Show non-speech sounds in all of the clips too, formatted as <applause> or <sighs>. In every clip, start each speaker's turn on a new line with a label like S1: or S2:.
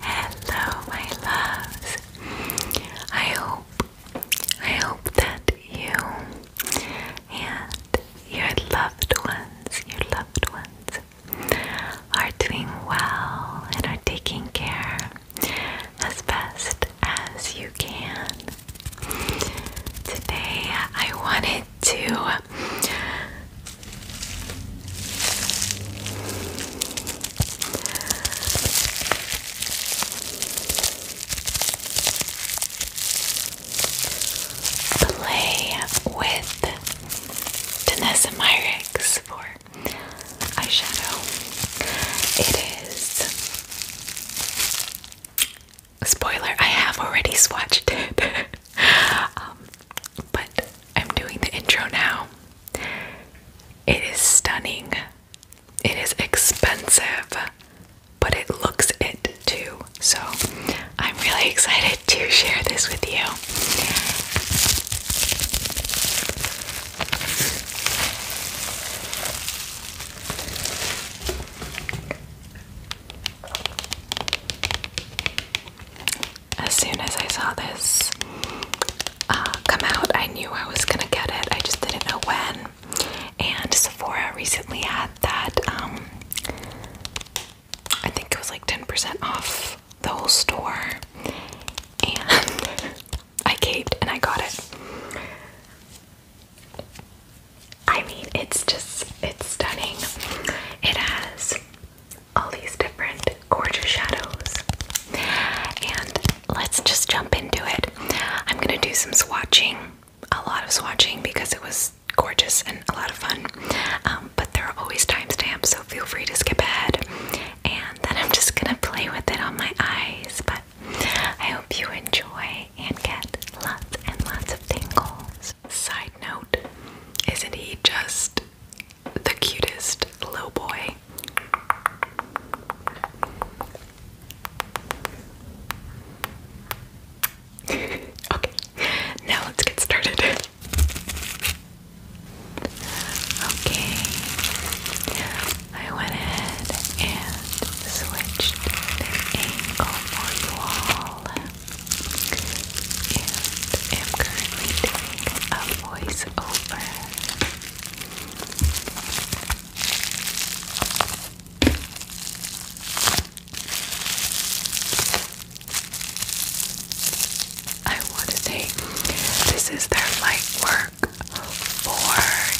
S1: Hello, my loves. I hope, I hope that you and your loved ones, your loved ones, are doing well and are taking care as best as you can. Today, I wanted to Play with Danessa Myricks for eyeshadow. It is spoiler, I have already swatched it. <laughs> Um, but I'm doing the intro now it is stunning. It is expensive, but it looks it too. So I'm really excited to share this with you as soon as I saw this uh, come out, I knew I was gonna get it. I just didn't know when. And Sephora recently had that, um, I think it was like 10% off the whole store. And <laughs> I caved and I got it. I mean, it's just, it's stunning. It has all these different gorgeous shadows. And let's just jump into it. I'm gonna do some swatching, a lot of swatching because it was gorgeous and a lot of fun. Um, but there are always timestamps, so feel free to skip ahead. And then I'm just gonna play with it on my eyes. But I hope you enjoy and get lots and lots of tingles. Side note, isn't he just the cutest little boy. <laughs> okay, now let's get started. <laughs> Okay, I went ahead and switched the angle for you all and am currently doing a voiceover. I want to say this is their light work for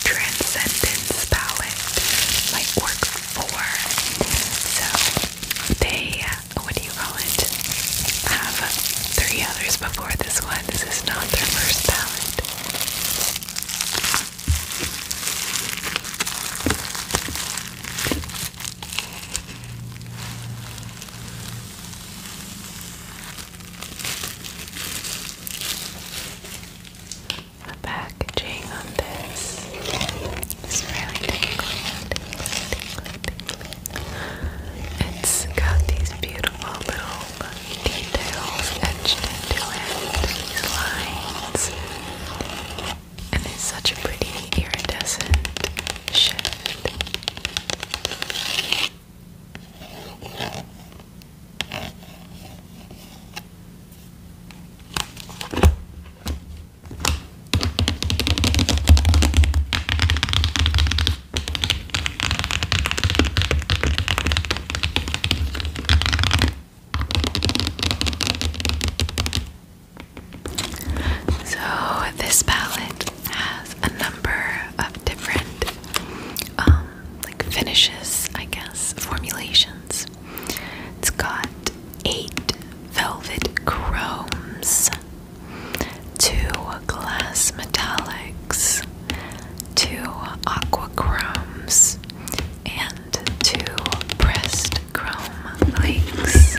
S1: transcendence palette. Light work for. So they what do you call it? Have three others before this one. This is not their first palette. The packaging on this is really tingly, it's got these beautiful little details etched into it, these lines. And it's such a pretty iridescent shift. So, this palette has a number of different um, like finishes, I guess, formulations. It's got eight velvet chromes, two glass metallics, two aqua aquachromes, and two pressed chrome links.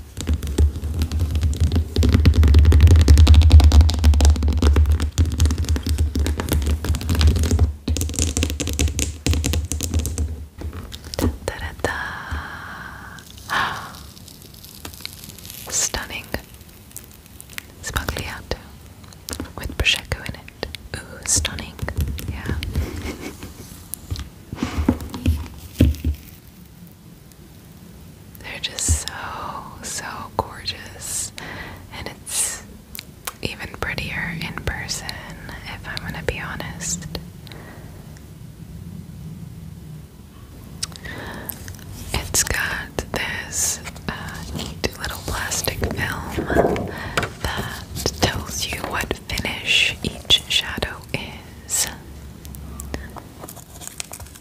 S1: Da, da, da, da. Stunning spagliato with prosecco in it. Ooh, stunning. Yeah. <laughs> They're just so, so gorgeous. And it's even prettier in person, if I'm going to be honest. It's got this uh, neat little plastic film that tells you what finish each shadow is.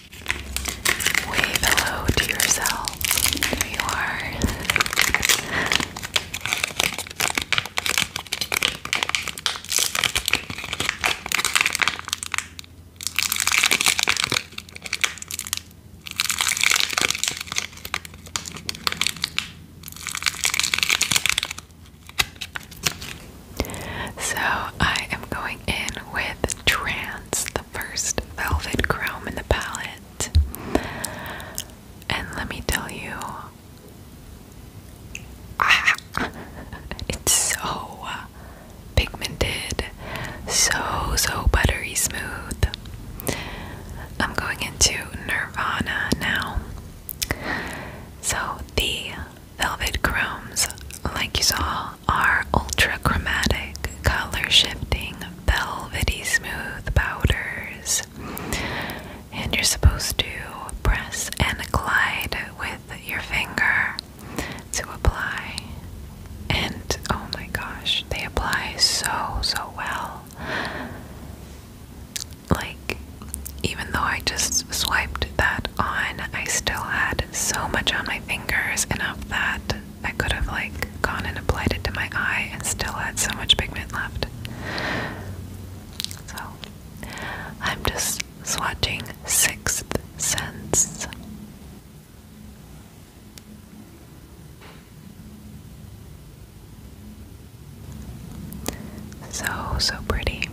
S1: Wave hello to yourself. There you are. So I am going going in with Trans, the first velvet chrome in the palette. And let me tell you, <laughs> it's so pigmented, so, so buttery smooth. I'm going into Nirvana now. So, the velvet chromes, like you saw are ultrachromatic, color shifting, velvety smooth powders. And you're supposed to press and glide with your finger to apply. And oh my gosh, they apply so, so well. Like, even though I just swiped that on, I still had so much on my fingers, enough that I could have like gone and applied it to my eye and still had so much pigment left. So I'm just swatching Sixth Sense. So, so pretty.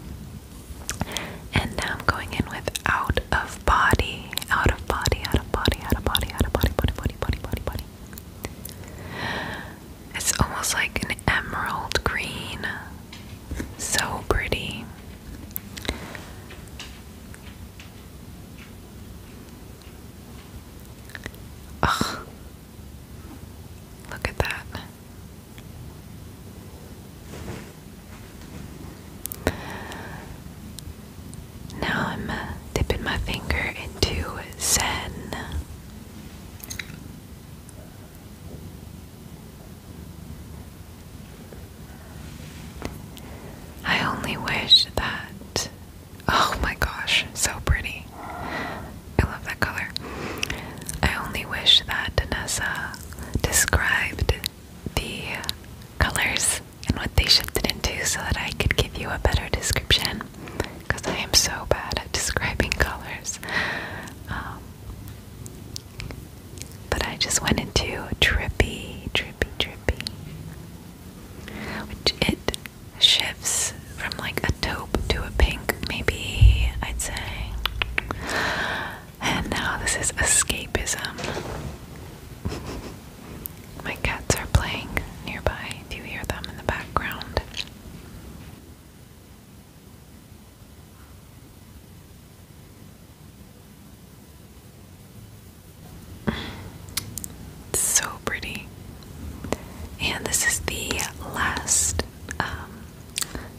S1: And now I'm going in with Out of Body out of body, out of body, out of body, out of body, body, body, body, body, body. It's almost like an emerald green. So pretty. Look at that. Now I'm uh, dipping my finger into Zen. I only wish that. Oh my gosh, so pretty. I love that color. I only wish that Danessa described the colors and what they shifted into so that I could give you a better description because I am so bad at describing <laughs> colors. Um, but I just went into trippy, trippy, trippy. Which it shifts from like a taupe to a pink, maybe I'd say. And now this is escapism. <laughs> My cats are playing nearby Do you hear them in the background. so pretty. And this is the last um,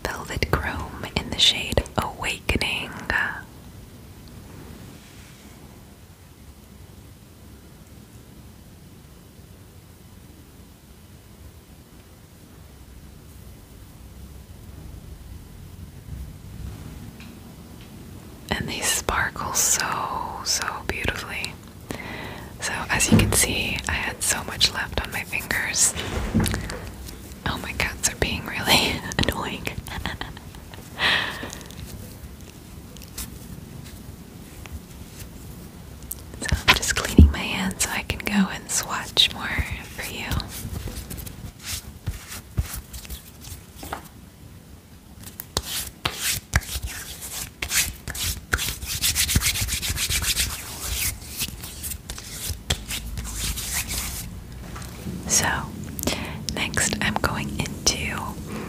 S1: velvet chrome in the shade Awakening. And they sparkle so, so beautifully. So, as you can see, I had so much left on my fingers. Oh, my cats are being really <laughs> annoying. <laughs> so I'm just cleaning my hands so I can go and swatch more for you. So, next I'm going into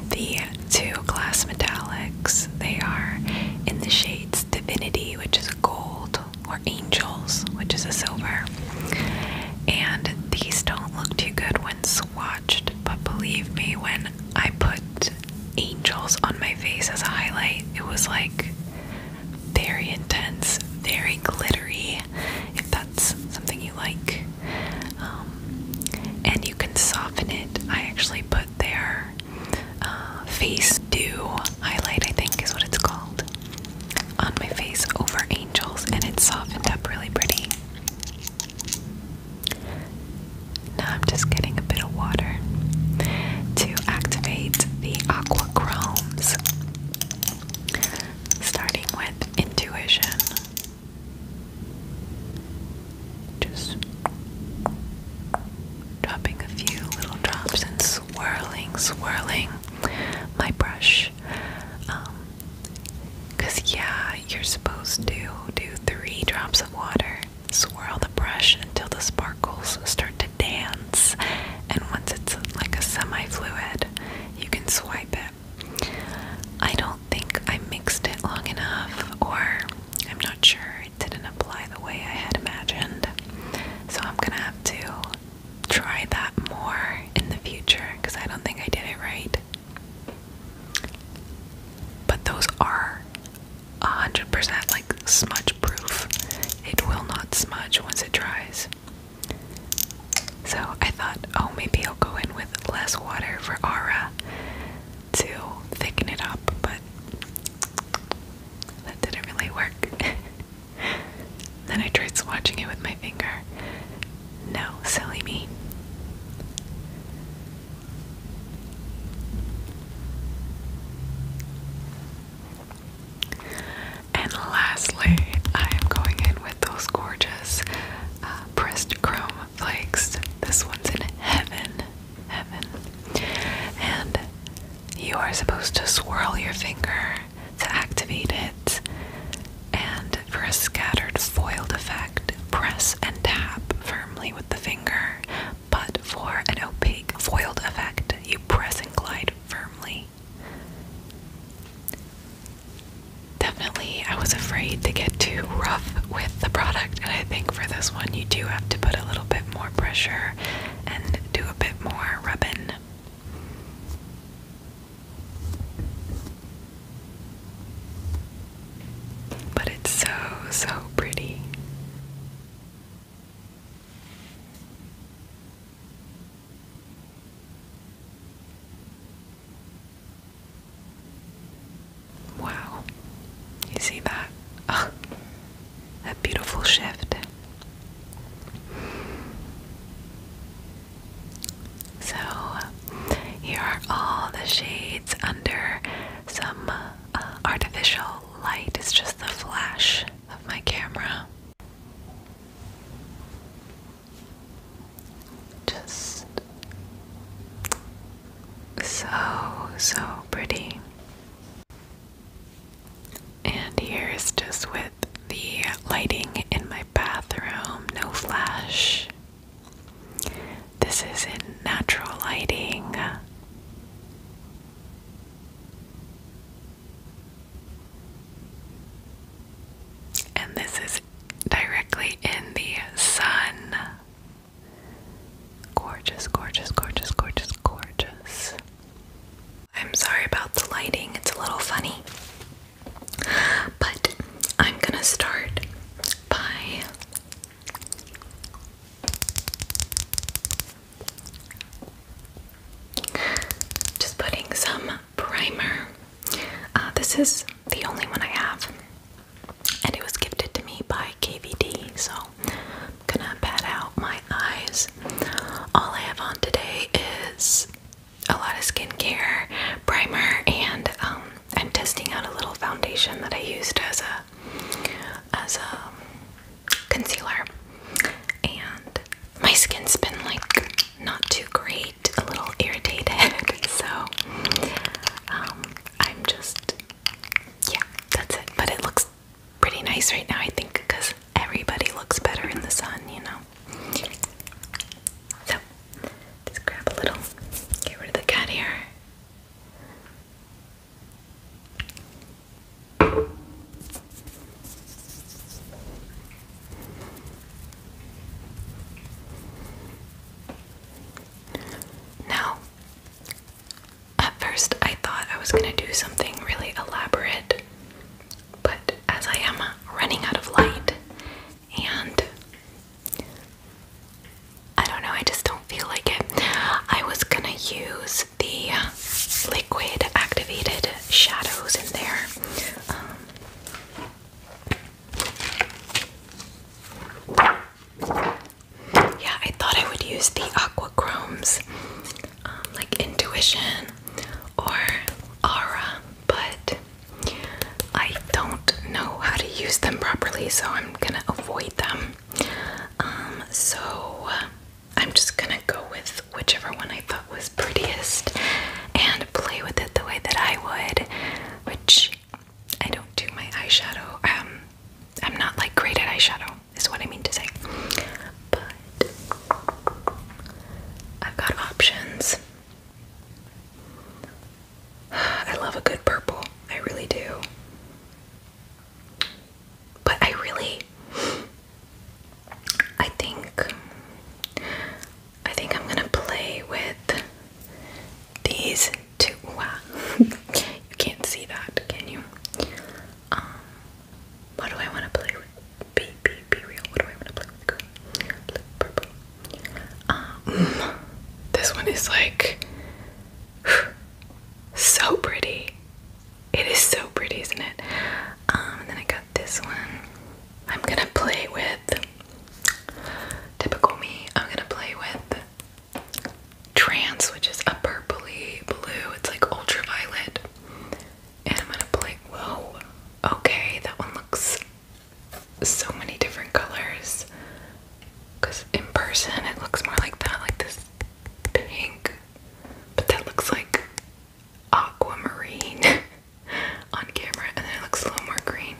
S1: the two glass metallics. They are in the shades Divinity, which is gold, or Angels, which is a silver. And these don't look too good when swatched, but believe me, when I put Angels on my face as a highlight, it was like very intense, very glittery. If that's something you like, um, and you can soften it. I actually put their uh, face dew highlight, I think is what it's called, on my face over Angels, and it softened up really pretty. Now I'm just getting a bit of water to activate the Aqua Chromes starting with intuition. Just dropping a few little drops and swirling, swirling my brush. Um, Cause yeah, you're supposed to do three drops of water, swirl the brush until the sparkles start to dance, and once it's like a semi-fluid, you can swipe it I don't think I mixed it long enough, or I'm not sure it didn't apply the way I had imagined. So I'm gonna have to try that more in the future because I don't think I did it right. But those are 100% like smudge proof. It will not smudge once it dries. So I thought, oh, maybe I'll go in with less water for Aura to thicken it up, but that didn't really work. <laughs> then I tried swatching it with my finger. No, silly me. And lastly, I am going in with those gorgeous uh, pressed chrome flakes. This one's in heaven, heaven. And you are supposed to swirl your finger to activate it. And for a scattered foiled effect, press and tap firmly with the finger. But for an opaque foiled effect, you press and glide firmly. Definitely, I was afraid to get too rough with the product, and I think for this one, you do have to put a little bit more pressure and do a bit more rubbing. But it's so, so pretty. Wow, you see that? Oh, ah, that beautiful shift. So, here are all the shades under some uh, artificial light. It's just the flash of my camera. Just so, so pretty. And here's just with the lighting in my bathroom, no flash. This is in natural lighting. And this is directly in the sun. Gorgeous, gorgeous, gorgeous, gorgeous, gorgeous. I'm sorry about the lighting, it's a little funny. But I'm gonna start by just putting some primer. Uh, this is the only one I have, and it was gifted to me by KVD. So I'm gonna pat out my eyes. All I have on today is a lot of skincare, primer, and um, I'm testing out a little foundation that I used as a as a concealer. And my skin's been like not too great a little irritated. <laughs> So um, I'm just, yeah, that's it. But it looks pretty nice right now, I think, because everybody looks better in the sun, you know. So just grab a little, get rid of the cat hair. Now, at first I thought I was going to do something really elaborate, but as I am running out of light and I don't know, I just don't feel like it. I was gonna use the liquid activated shadows in there. Um, yeah, I thought I would use the Aqua Chromes, um, like Intuition or Aura, but I don't know how to use them properly, so I'm gonna avoid them. Um, so uh, I'm just gonna go with whichever one I thought was prettiest, and play with it the way that I would, which I don't do my eyeshadow. Um, I'm not like great at eyeshadow, is what I mean to say. But I've got options. I love a good purple, I really do. But I really I think I think I'm gonna play with these two. Wow, <laughs> you can't see that, can you? Um, what do I want to play with? Be be be real. What do I want to play with? Green, blue, purple. Um, this one is like <sighs> so pretty. It is so pretty, isn't it? Um, and then I got this one. I'm gonna play with typical me. I'm gonna play with trans, which is a purpley blue. It's like ultraviolet. And I'm gonna play. Whoa. Okay, that one looks so many different colors. Cause in person it looks more like that, like this pink. But that looks like aquamarine <laughs> on camera and then it looks a little more green.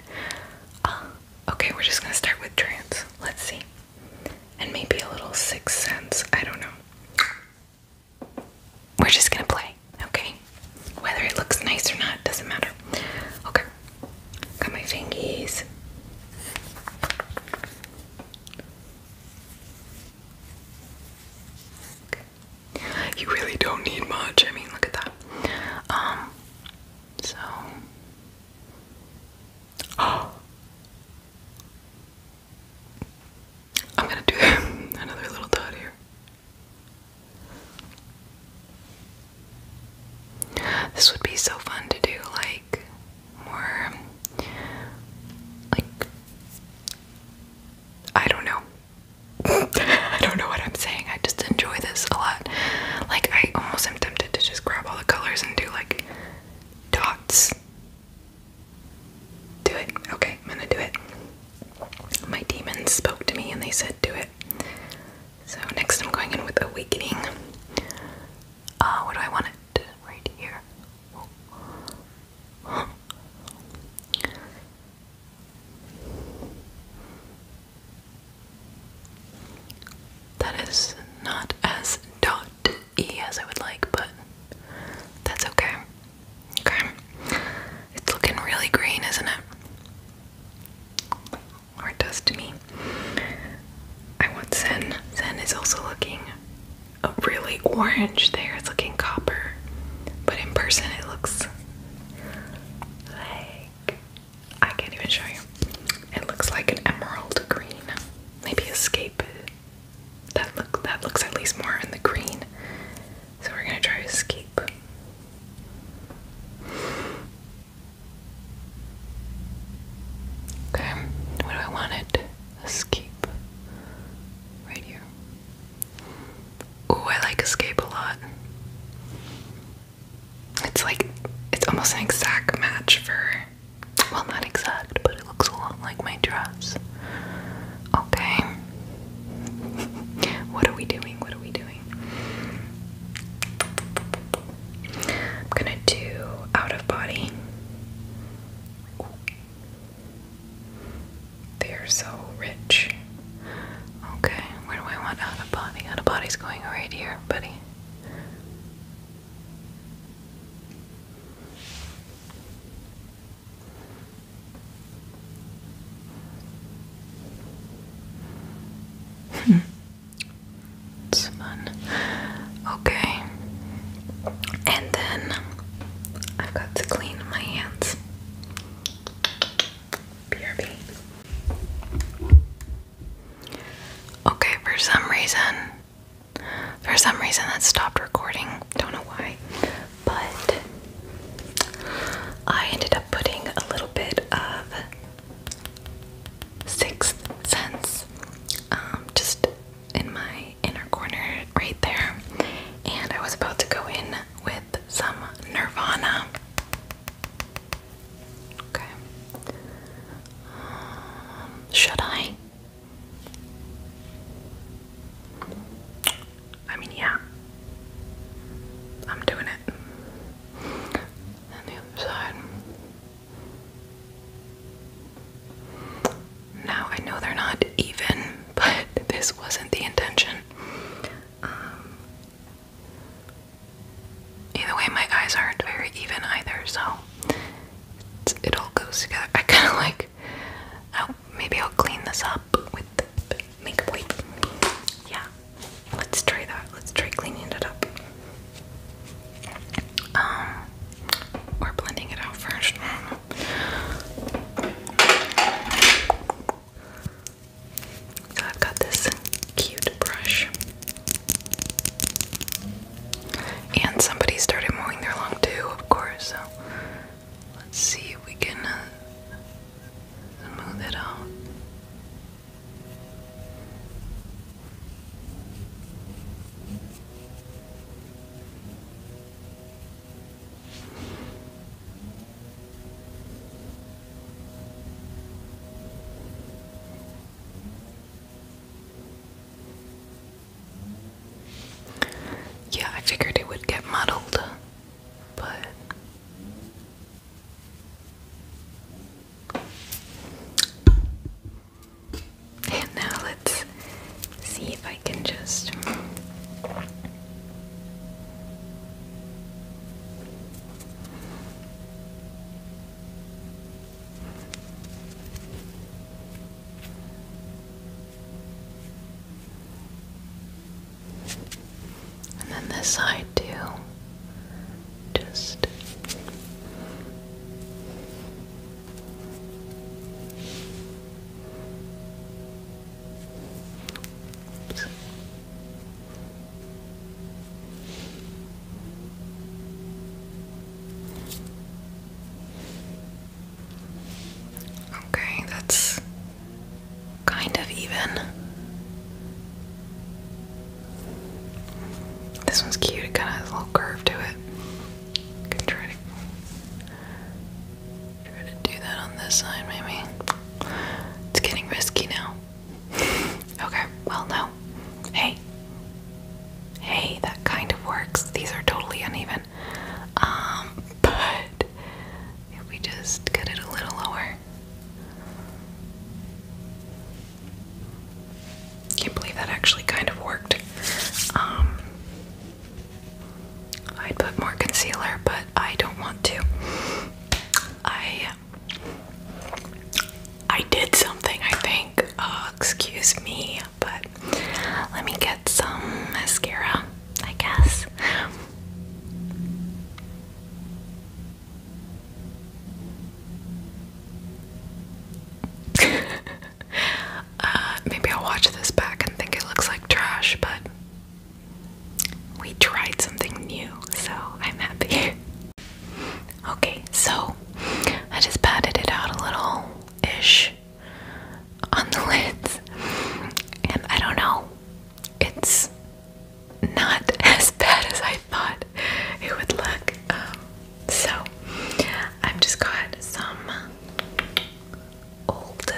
S1: Uh, okay, we're just gonna start with trance. Let's see. And maybe a little sixth sense. I don't know. We're just gonna play, okay? Whether it looks nice or not, doesn't matter. Okay. Got my fingies. Okay. You really don't need much. I mean, look at that. Um, so. <gasps> I'm gonna do <laughs> another little dot here. This would be so fun to do, like, more, like, I don't know. <laughs> I don't know what I'm saying. I just enjoy this a lot. Like, I almost am tempted to just grab all the colors and do like dots. Do it. Okay, I'm gonna do it. My demons spoke to me and they said, do it. So, next I'm going in with Awakening. Uh, what do I want it? Right here. That is not as dot E as I would like, but that's okay. Okay. It's looking really green, isn't it? Or it does to me. I want Zen. Zen is also looking a really orange there. It's looking copper but in person it looks like I can't even show you. It looks like an emerald green, maybe escape. That look that looks at least more in the green. So we're gonna try escape. Okay, what do I want it? Escape. Right here. Ooh, I like Escape a lot. It's like, it's almost an exact match for, well, not exact, but it looks a lot like my dress. Okay. <laughs> what are we doing? What are we doing? I'm gonna do out of body. They are so rich. Okay, where do I want out of body? Out of body's going right here, buddy. it's fun. Okay. And then I've got to clean my hands. Okay, for some reason, for some reason that stopped recording. Don't know why, but I ended up putting a little bit of Sixth Sense um, just in my inner corner right there. And I was about to go in with some Nirvana. Okay. Um, should I? I mean, yeah. I'm doing it. And the other side. Now I know they're not even, but this wasn't the intention. Um, either way, my eyes aren't very even either, so it all goes together. I kind of like. Oh, maybe I'll clean this up with makeup wipe. Yeah, let's try that. Let's try cleaning it up. Um, or blending it out first. I've got this cute brush. And somebody started mowing their lawn too, of course. So let's see if we can uh, smooth it out. Yeah, I figured it would get muddled, but and now let's see if I can just and then this side too. Just Okay, that's kind of even. This one's cute, it kind of has a little curve to it. Can Try to do that on this side, maybe. It's getting risky now. <laughs> okay, well, no. Hey. Hey, that kind of works. These are totally uneven. Um, but if we just get it a little lower. Can't believe that actually kind of worked. Um, I'd put more concealer, but I don't want to. I I did something, I think. Uh, excuse me, but let me get some mascara, I guess. <laughs> Uh, maybe I'll watch this back and think it looks like trash, but we tried something new, so I'm happy. <laughs> okay, so I just patted it out a little ish on the <laughs> lids, and I don't know, it's not <laughs> as bad as I thought it would look. Um, so I've just got some old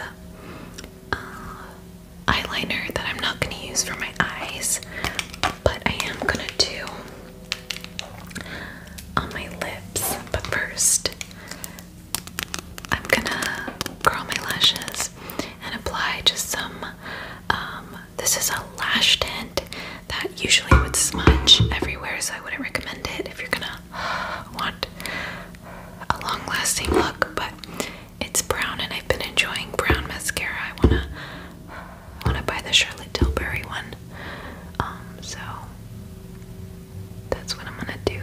S1: uh, eyeliner that I'm not going to use for my eyes, but I am going to do on my lips. But first, I'm going to curl my lashes and apply just some. Um, this is a lash tint that usually would smudge everywhere, so I wouldn't recommend it if you're gonna want a long lasting look, but it's brown and I've been enjoying brown mascara. I wanna wanna buy the Charlotte Tilbury one. Um, so that's what I'm gonna do.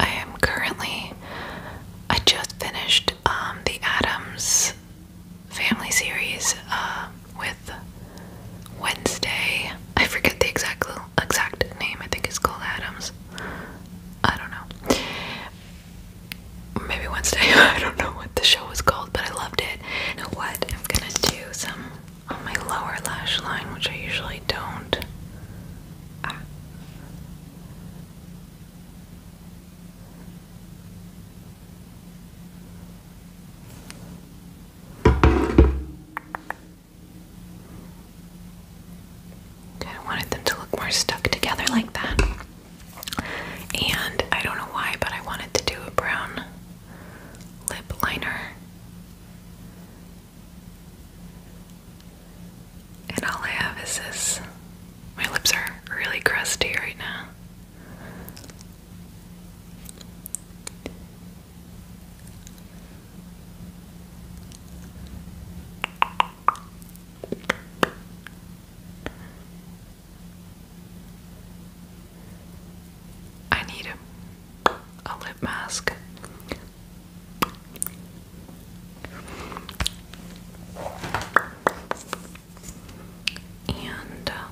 S1: I am currently, I just finished um, the Adams family series uh, with Wednesday. I forget the exact exact name. I think it's called Adams. I don't know. Maybe Wednesday. <laughs> I don't know what the show was called, but I loved it. know what? I'm gonna do some on my lower lash line, which I usually don't. Ah. Okay, I wanted them to look more stuck together like that. And I don't know why, but I wanted to do a brown lip liner. And all I have is this. My lips are really crusty right now. I need a, lip mask. And uh,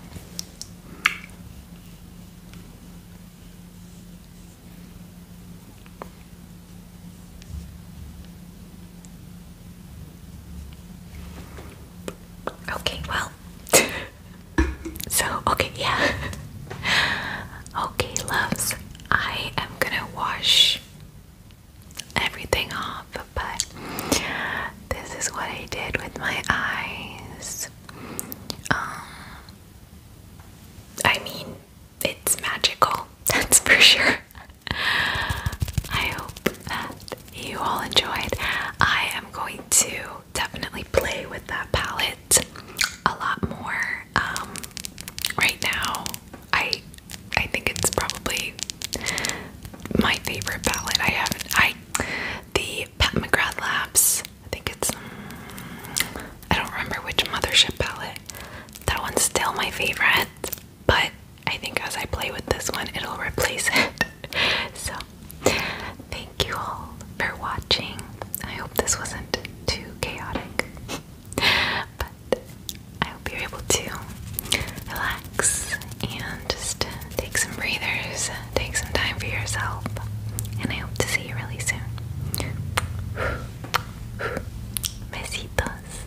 S1: Okay, well. <laughs> so, okay, yeah. <laughs> okay, loves. I am gonna wash everything off, but this is what I did with my eyes. Um, I mean, it's magical, <laughs> that's for sure. I hope that you all enjoyed. I am going to definitely play with that palette a lot more um, right now I I think it's probably my favorite palette. I have I the Pat McGrath Labs. I think it's um, I don't remember which mothership palette. That one's still my favorite, but I think as I play with this one, it'll replace it. <laughs> so, thank you all for watching. I hope this wasn't too chaotic but I hope you're able to relax and just take some breathers, take some time for yourself, and I hope to see you really soon. Besitos.